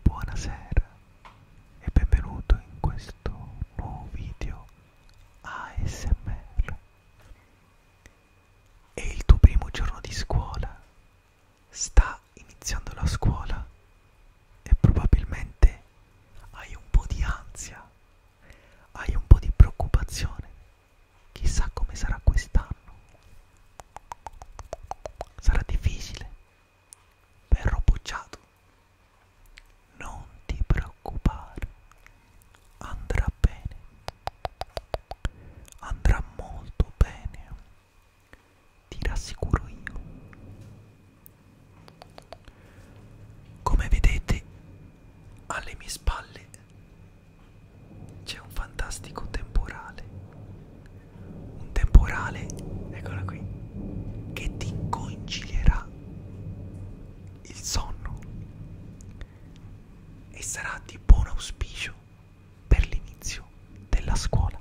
Buonasera e benvenuto in questo nuovo video ASMR. È il tuo primo giorno di scuola, sta iniziando la scuola e probabilmente hai un po' di ansia, hai un po' di preoccupazione, chissà come sarà quest'anno. Sarà difficile, verrò bocciato. Non ti preoccupare, andrà bene, andrà molto bene, ti rassicuro io. Come vedete, alle mie spalle c'è un fantastico temporale un temporale, eccola qui, che ti concilierà il sonno e sarà di buon auspicio per l'inizio della scuola.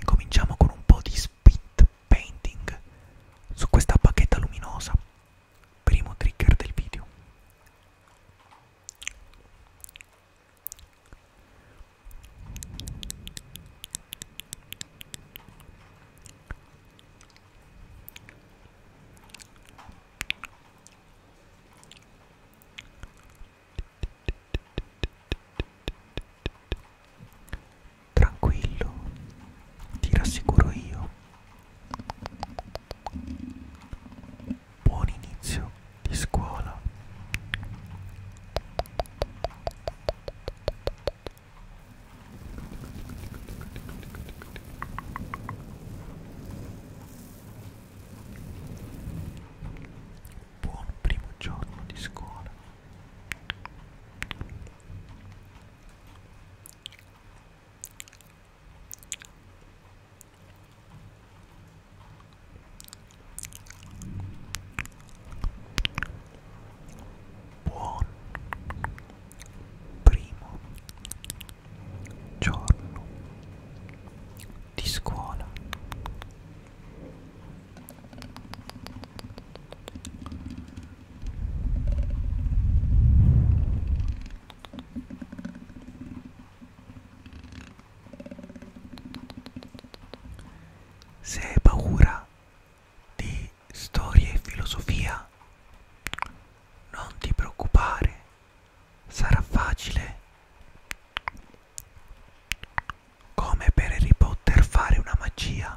Incominciamo con un po' di spit painting su questa bacchetta luminosa primo trigger del video Tranquillo, ti rassicuro io, Buon inizio di scuola. Buon primo giorno di scuola. Buon primo giorno di scuola. Se hai paura di storia e filosofia, non ti preoccupare, sarà facile come per Harry Potter fare una magia.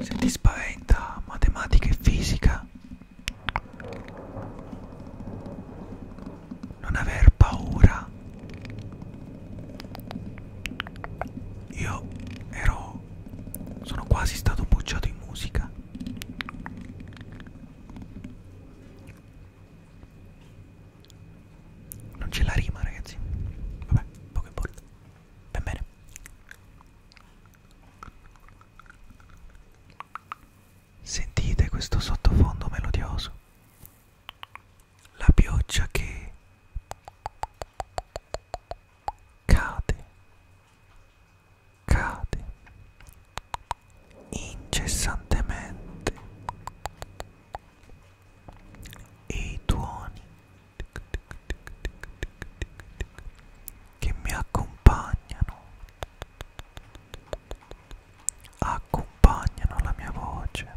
Se ti spaventa matematica e fisica, non aver paura. Io ero sono, sono quasi stato bocciato in musica. Non c'è la rima, ragazzi. Vabbè, poco importa. Ben bene. Sentite questo sottofondo melodioso. La pioggia che cade, cade incessantemente e i tuoni che mi accompagnano accompagnano la mia voce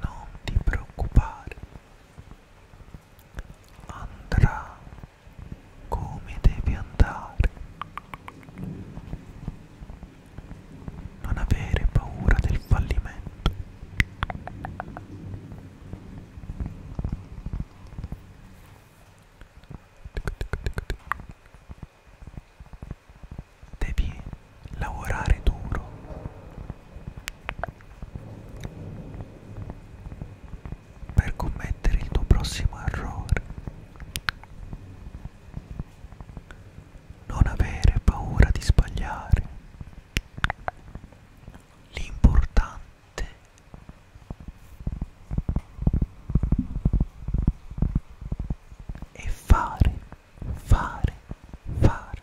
Non ti preoccupare, andrà come devi andare. Non avere paura del fallimento. Devi lavorare duro per commettere il tuo prossimo errore. Non avere paura di sbagliare. L'importante è fare, fare, fare.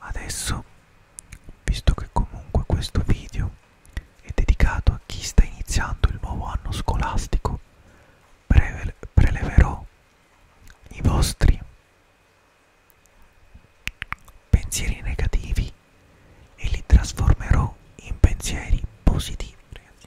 Adesso, visto che comunque questo video è dedicato a chi sta iniziando il nuovo anno scolastico, preleverò i vostri pensieri negativi e li trasformerò in pensieri positivi ragazzi.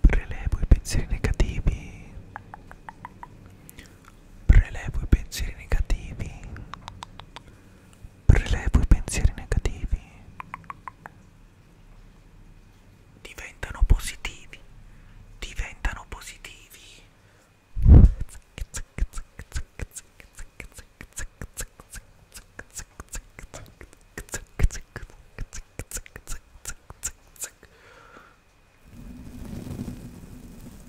Prelevo i pensieri negativi. Prelevo i pensieri negativi prelevo i pensieri negativi diventano positivi diventano positivi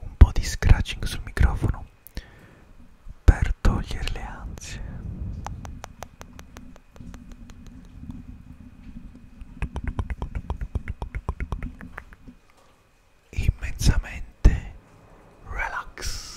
un po' di scratching sul microfono per togliere le ansie immensamente relax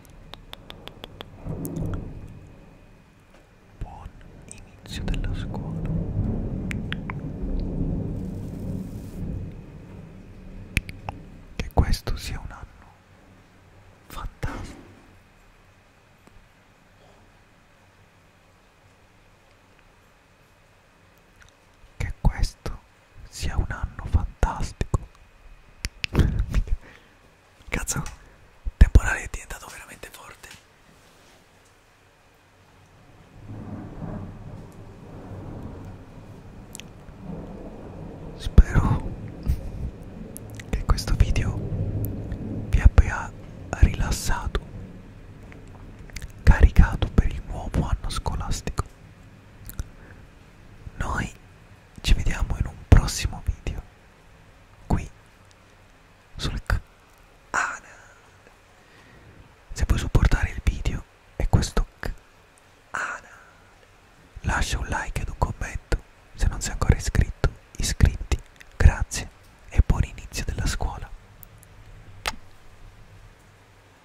Buon inizio della scuola. Che questo sia un anno fantastico che questo sia un anno fantastico. Cazzo, il temporale è diventato veramente forte. Spero che questo video vi abbia rilassato, caricato per il nuovo anno scolastico. Noi ci vediamo in un prossimo video qui sul canale. Ah, Se vuoi supportare il video e questo canale, ah, lascia un like ed un commento. Se non sei ancora iscritto, iscriviti. Grazie e buon inizio della scuola.